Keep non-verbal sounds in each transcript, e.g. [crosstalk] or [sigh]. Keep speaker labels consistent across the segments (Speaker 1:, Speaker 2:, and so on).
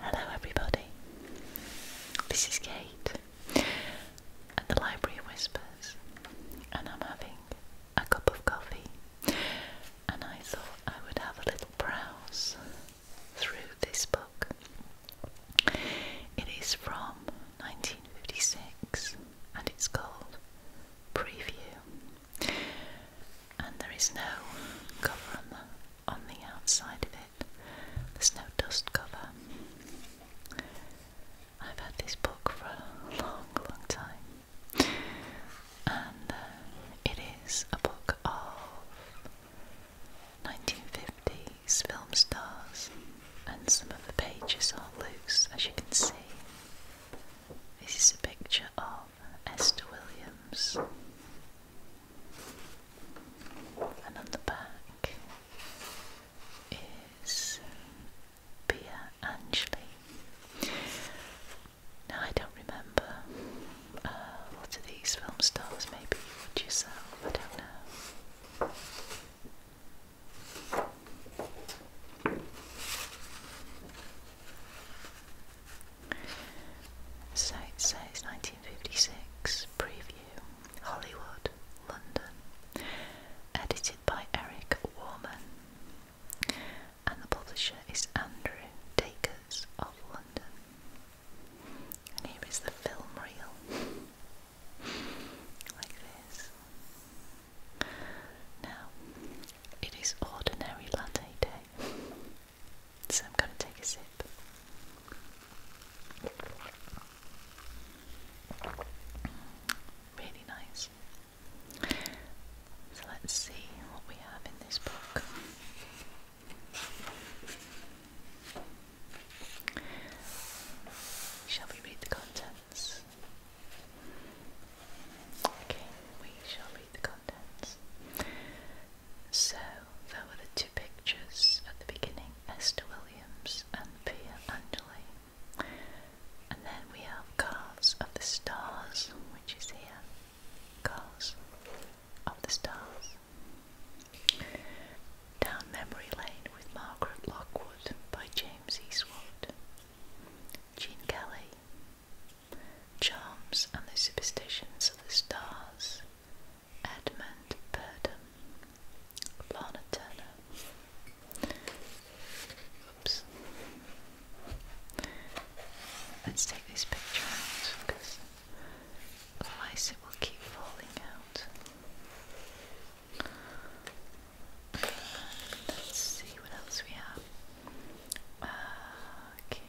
Speaker 1: Hello, everybody. This is Kate at the Library Whispers, and I'm having a cup of coffee. And I thought I would have a little browse through this book. It is from 1956 and it's called Preview and there is no cover on the, on the outside of it. There's no dust cover. I've had this book for a long, long time, and uh, it is a book of 1950s film stars, and some of the pages are loose, as you can see. This is a picture of Esther Williams. And on the back is Pia Angelou. Now I don't remember uh, what are these film stars, maybe you would yourself, I don't know. Site says 1956 preview Hollywood, London. Edited by Eric Warman. And the publisher is Andrew Dakers of London. And here is the film reel. Like this. Now, it is ordinary latte day. So I'm going to take a sip. Really nice. So let's see what we have in this book. Shall we read the contents? Okay, we shall read the contents. So, there were the two pictures at the beginning Esther Williams and Pia Angeli. And then we have Cars of the Stars, which is here. Cars of the Stars. Down Memory Lane with Margaret Lockwood by James Eastwood. Gene Kelly Charms and the Superstitions of the Stars, Edmund Purdom, Lana Turner. Oops. Let's take this picture because otherwise it will keep falling out. let's see what else we have. Ah, okay,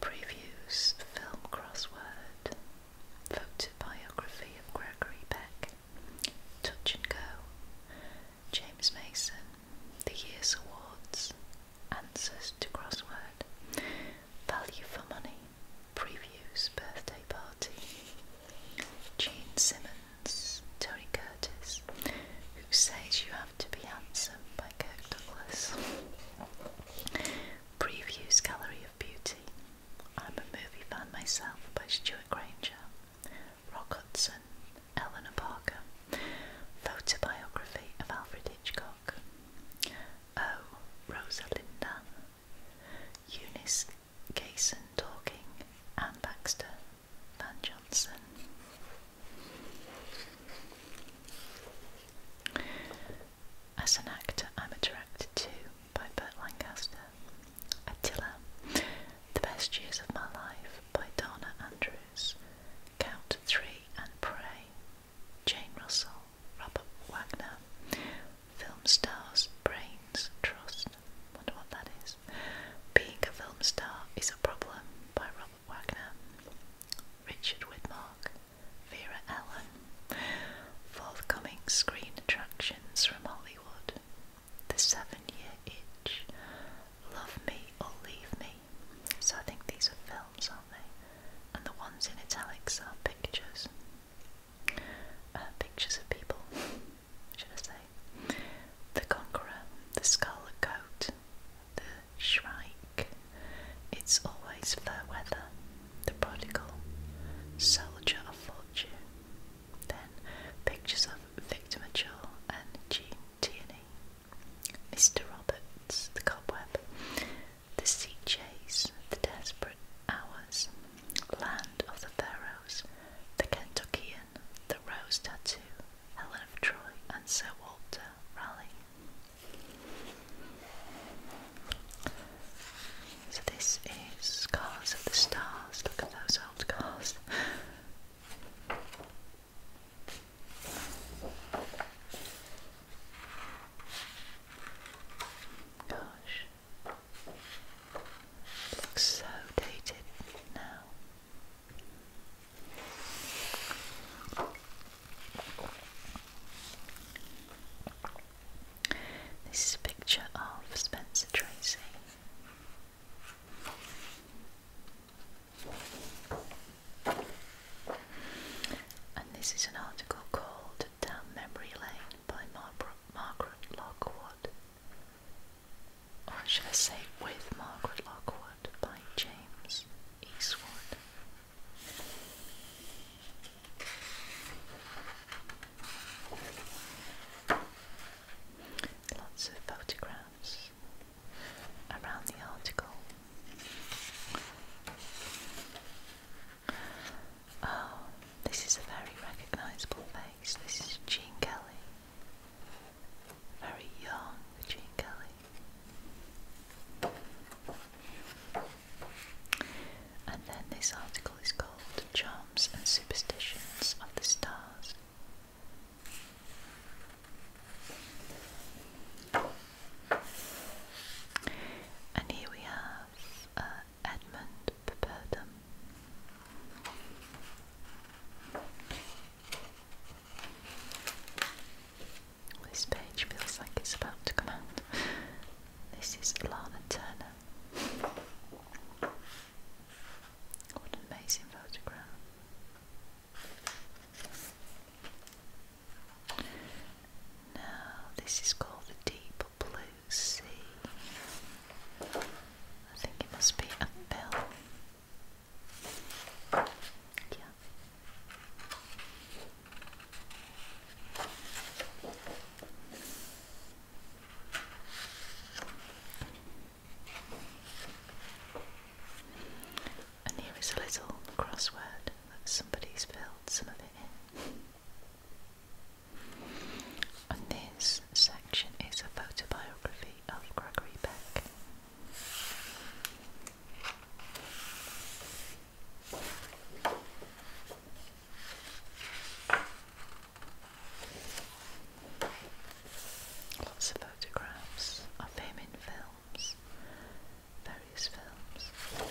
Speaker 1: Previews Film Crossword, biography of Gregory Peck, Touch and Go, James Mason, The Year's Awards, Answers to Crossword, Value for Money, Previews Birthday Party, Gene Simmons, Tony Curtis, Who Says You have to be handsome by Kirk Douglas. Previews Gallery of Beauty. I'm a movie fan myself by Stuart Granger. Rock Hudson, Eleanor Parker. Photobiography of Alfred Hitchcock. Oh, Rosalinda. Eunice Gayson Talking. Anne Baxter. Van Johnson. As an actor, I'm attracted to by Burt Lancaster, Attila, The Best Years of My Life by Donna Andrews, Count Three and Pray, Jane Russell, Robert Wagner, Film Stars, Brains, Trust, wonder what that is, Being a Film Star is a Problem by Robert Wagner, Richard Widmark, Vera Ellen, forthcoming screen attractions from Hollywood, The Seven Year Itch, Love Me or Leave Me. So I think these are films, aren't they? And the ones in italics are pictures. Uh, pictures of people, should I say. The Conqueror, The Scarlet Coat, The Shrike. It's always fair weather, the prodigal, soldier of fortune. Then pictures of Victor Mature and Jean Tierney, Mr. Roberts, the cobweb, the sea chase, the desperate hours, land of the pharaohs, the Kentuckian, the rose tattoo, Helen of Troy, and Sir Walter Raleigh. So this is Cars of the Stars. Look at those old cars. Gosh. looks so dated now. This is a picture of Spencer Tracy. And this is an article called Down Memory Lane by Margaret Lockwood. Or should I say, with Margaret Lockwood by James Lots of photographs around the article. Oh, this is a very recognisable face. This is Jean Kelly. Very young Jean Kelly. And then this article is called Charms and Superstitions of the Stars. And here we have uh, Edmund Purdom. This page feels like it's about to come out. This is Lana Turner. What an amazing photograph. Now, this is called the Deep Blue Sea. I think it must be a bill. Tiens. And here is a little crossword that somebody's filled some of it in. And this section is a photobiography of Gregory Beck. Lots of photographs of him in films, various films.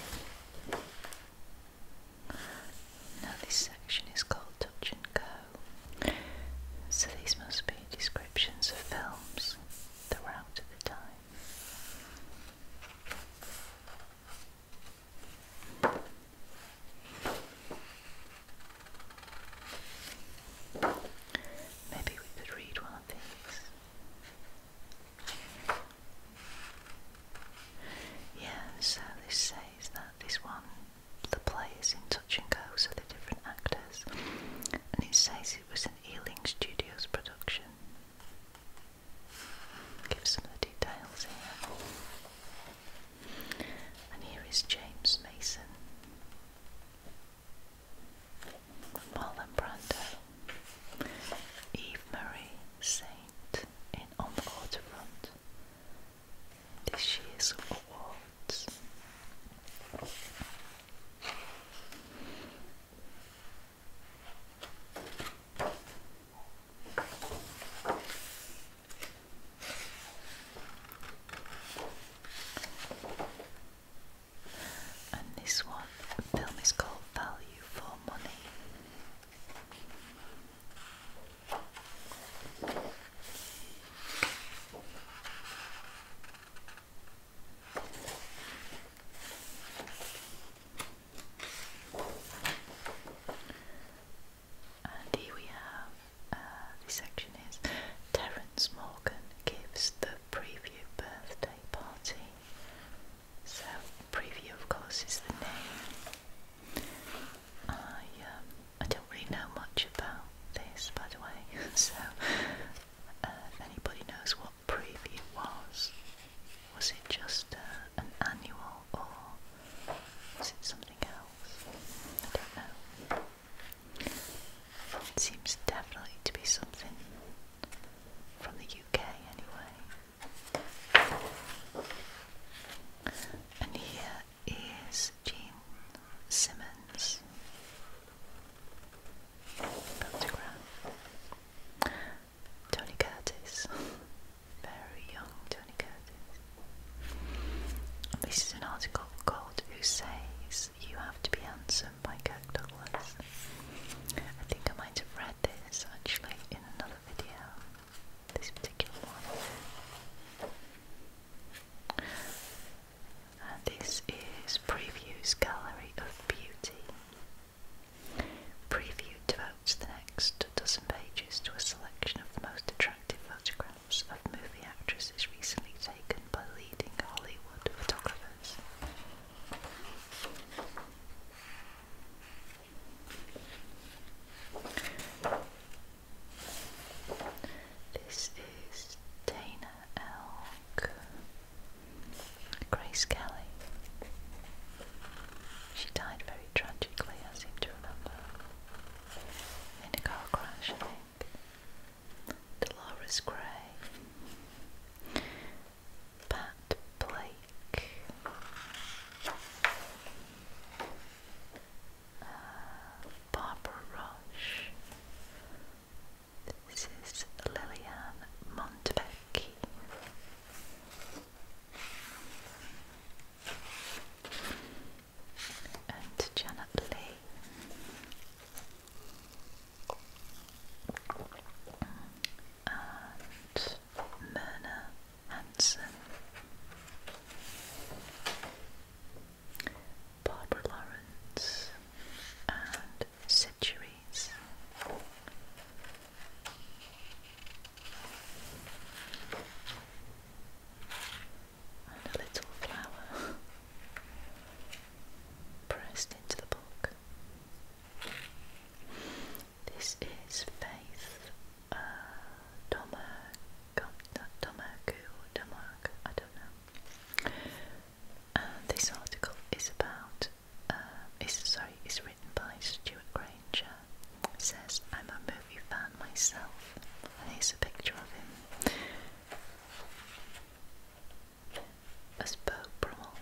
Speaker 1: Now, this section is called Touch and Go, so these must be descriptions of films, throughout the time. Maybe we could read one of these. Yeah, so this says that this one, the play is in touch and go, so the different actors, and it says it was an Ealing Studios production. Give some of the details here. And here is James Mason. Marlon Brando. Eve Marie Saint in On the Waterfront. This year's awards. And this one, the film is called Value for Money. And here we have uh, section is Terence Morgan gives the preview birthday party. So preview, of course, is the name. I um, I don't really know much about this, by the way. [laughs] so uh, if anybody knows what preview was. Was it just uh, an annual or was it something else? I don't know. It seems definitely to be something from the UK anyway. And here is Jean Simmons Instagram. Tony Curtis. Very young Tony Curtis. This is an article called Who Says You Have to Be Handsome by Kirk Douglas. I think I might have read this actually in another video. This particular one. And this is Previews Gallery of Beauty. Preview devotes the next dozen pages to a selection of the most attractive photographs of movie actresses recently taken by leading Hollywood photographers. This is Dana Elk. Grace Kelly. She died very tragically, I seem to remember. In a car crash, I think. Dolores Gray. Pat Blake. Uh, Barbara Rush. This is Lillian Montevecchi. And Janet Lee. And Myrna Hansen. Barbara Lawrence and Siduri and a little flower pressed into the book. This is Faith uh, Domergue, Domergue, Domergue, I don't know this article is about, uh, is, sorry, it's written by Stuart Granger. says, I'm a movie fan myself. And here's a picture of him as Bo Brummel.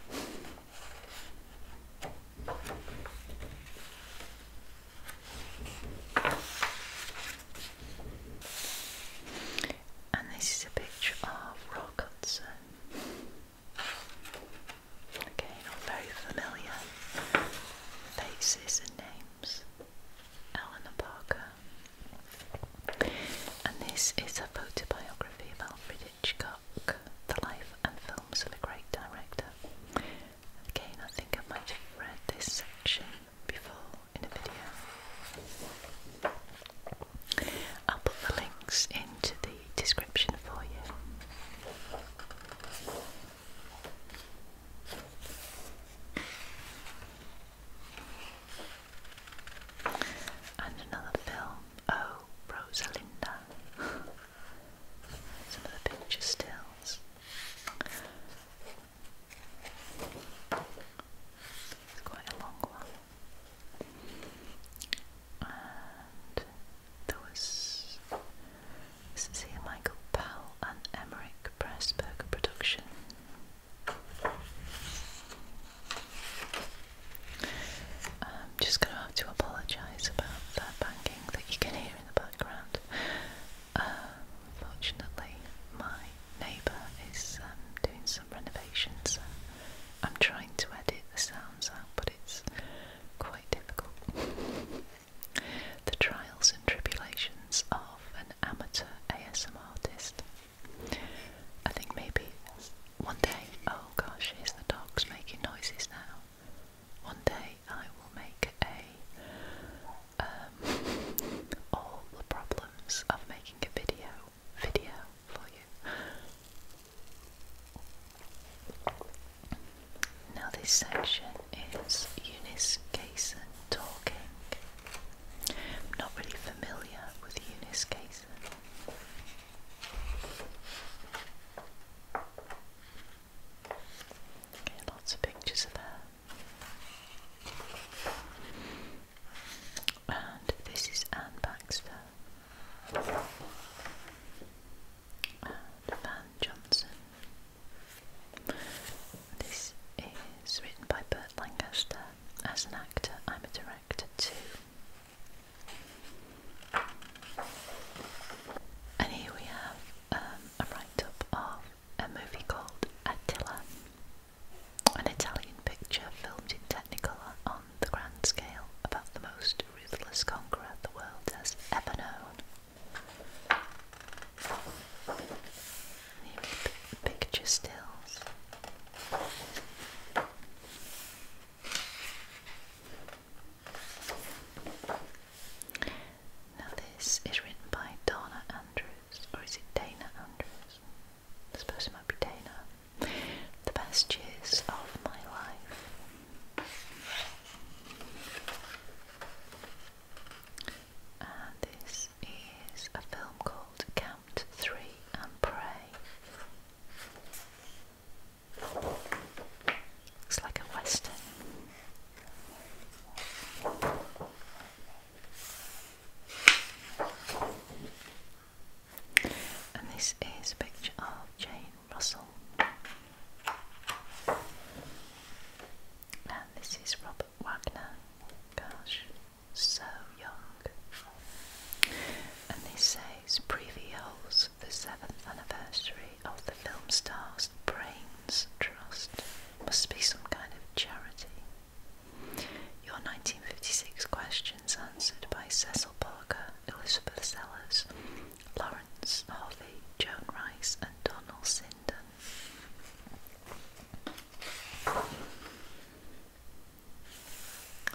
Speaker 1: And this is a picture of Rock Again, all very familiar faces and names. Eleanor Parker. And this is a photobiography of Alfred Hitchcock, the life and films of a great director. Again, I think I might have read this section before in a video. I'll put the links into the description for you. And another film, Oh Rosalinda. [laughs] Some of the picture stills. It's quite a long one. And there was this is here Michael Powell and Emmerich Pressburger production. I'm just going to have to apologise about that banging that you can hear in the background. Um, my neighbour is um, doing some renovations, I'm trying to edit the sounds out, but it's quite difficult. the trials and tribulations of an amateur ASM artist. I think maybe one day, oh gosh, here's the dogs making noises now. One day I will make a um, all the problems of making a video video now, this section is Eunice Casey talking. not really familiar with Eunice Gason. lots of pictures of her. And this is Anne Baxter and Johnson. This is written by Bert Lancaster. As an actor, I'm a director too. And here we have um, a write up of a movie called Attila, an Italian picture filmed in Technicolor the grand scale about the most ruthless conqueror the world has ever known. Picture stills. Now, this is written by Donna Andrews, or is it Dana Andrews? I suppose it might be Dana the best years of my life. And this is a film called Count Three and Pray. Looks like a western. And this is a picture of Jane Russell. And this is Robert Wagner. Gosh, so young. And this says previews the seventh anniversary of the film star's Brains Trust. Must be some kind of charity. Your 1956 questions answered by Cecil Paul Elizabeth Sellers, Lawrence Harvey, Joan Rice, and Donald Sinden.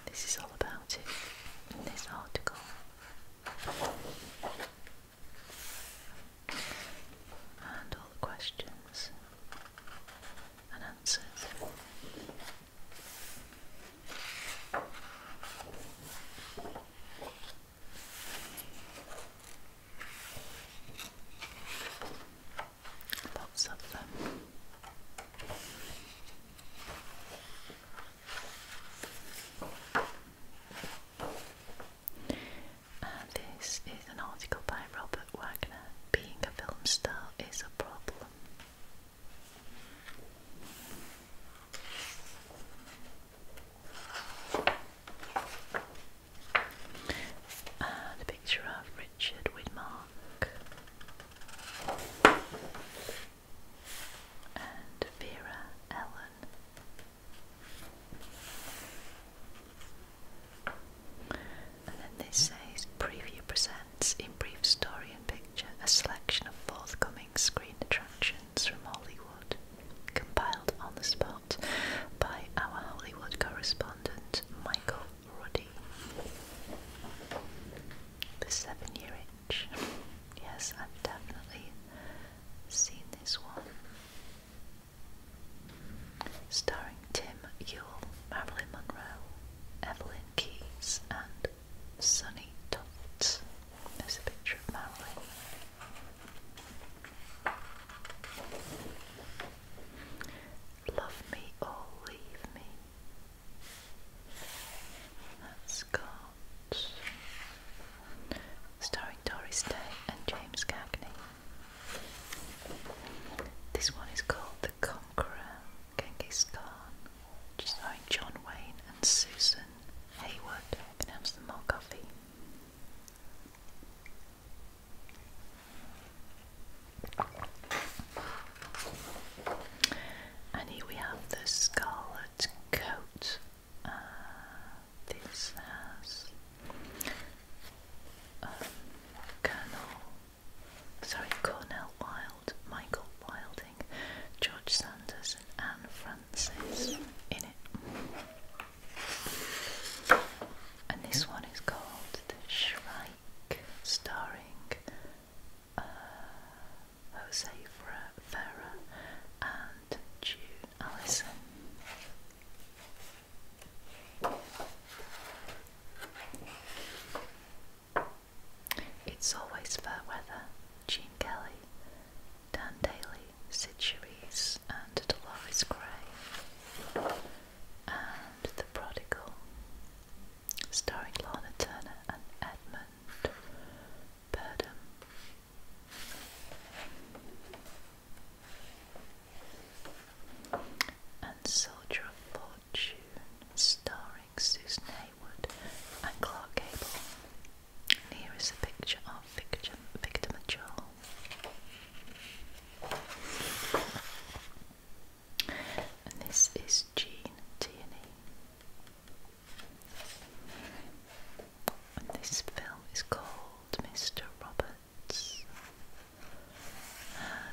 Speaker 1: This is all about it in this article. And all the questions and answers this is an article by Robert Wagner. Being a film star is a problem a uh, picture of Richard Widmark and Vera Ellen. And then this says Preview presents in brief story and picture a selection of forthcoming screen attractions from Hollywood, compiled on the spot by our Hollywood correspondent Michael Ruddy. The Seven Year Itch. Yes, I've definitely seen this one. Starring Tim Yule, Marilyn Monroe, Evelyn Keyes, and sunny Tufts. There's a picture of Marilyn. Love me or leave me. That's starring Doris Day and James Cagney. This one is called The Conqueror, Genghis Khan, starring John Wayne and Susan Hayward, I can have some more coffee. And here we have the scarlet coat. Uh, this has um, Colonel, sorry, Cornell Wilde, Michael Wilding George Sanders and Anne Francis in it. And this one is called The Shrike, starring uh, Jose Ferrer and June Allison. It's Always Fair Weather, Gene Kelly, Dan Daly, Sid and Dolores Gray. And The Prodigal, starring Lorna Turner and Edmund Burdom. And Soldier of Fortune, starring starring Susan Haywood and Clark Gable. here is a picture of Victor, Victor Majol. And this is Jean Tierney. this film is called Mr. Roberts.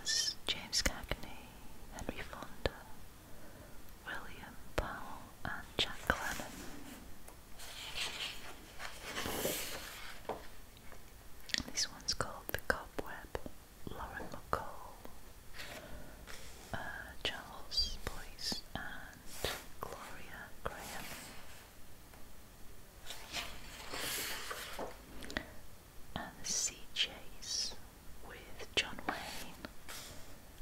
Speaker 1: As James Cagney, Henry Fonda, William Powell and Jack Lennon. This one's called The Cobweb. Lauren McCall, uh, Charles Boyce and Gloria Graham. And The Sea Chase with John Wayne.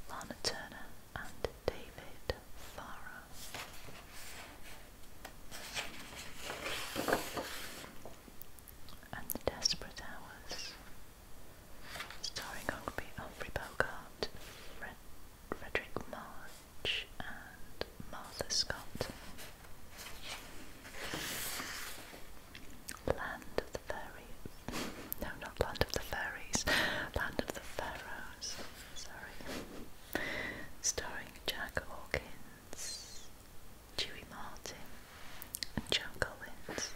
Speaker 1: Lana Turner and David Farah. And The Desperate Hours, starring Humphrey, Humphrey Bogart, Frederick March, and Martha Scott. Land of the Fairy no, not Land of the Fairies, Land of the Pharaohs, sorry. Starring Jack Hawkins, Dewey Martin, and Joan Collins.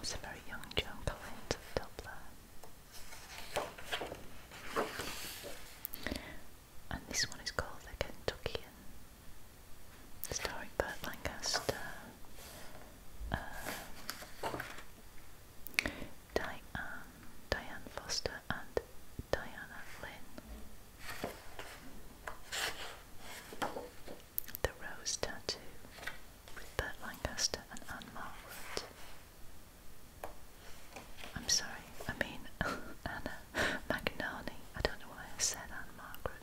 Speaker 1: It's a very young Joan Collins of Doppler. And this one is called The Kentuckian starring Burt Lancaster, uh, Diane, Diane Foster, and Diana Flynn. The Rose Tattoo with Burt Lancaster and Anne Margaret. I'm sorry, I mean [laughs] Anna Magnani. I don't know why I said Anne Margaret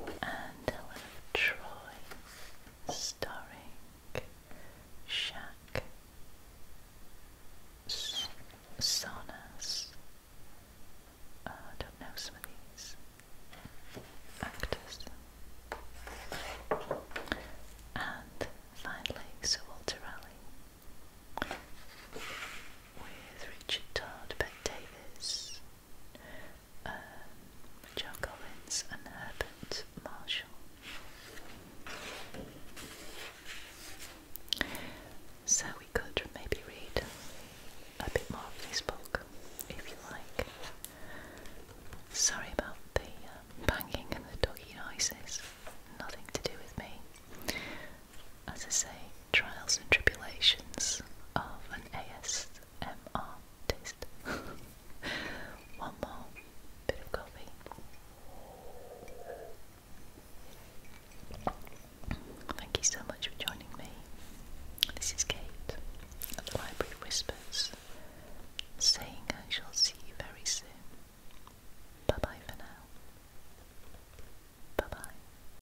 Speaker 1: and a Troy starring Shaq S uh, I don't know some of these actors. And finally, Sir Walter Raleigh with Richard Todd, Ben Davis, um, Collins and Herbert Marshall. So we could maybe read a bit more of this book if you like. Sorry about the um, banging and the doggy noises, nothing to do with me as I say, trials and tribulations of an ASMR taste. [laughs] One more bit of coffee. Thank you so much for joining me. This is Kate at the Library Whispers saying I shall see you very soon. Bye bye for now. Bye bye.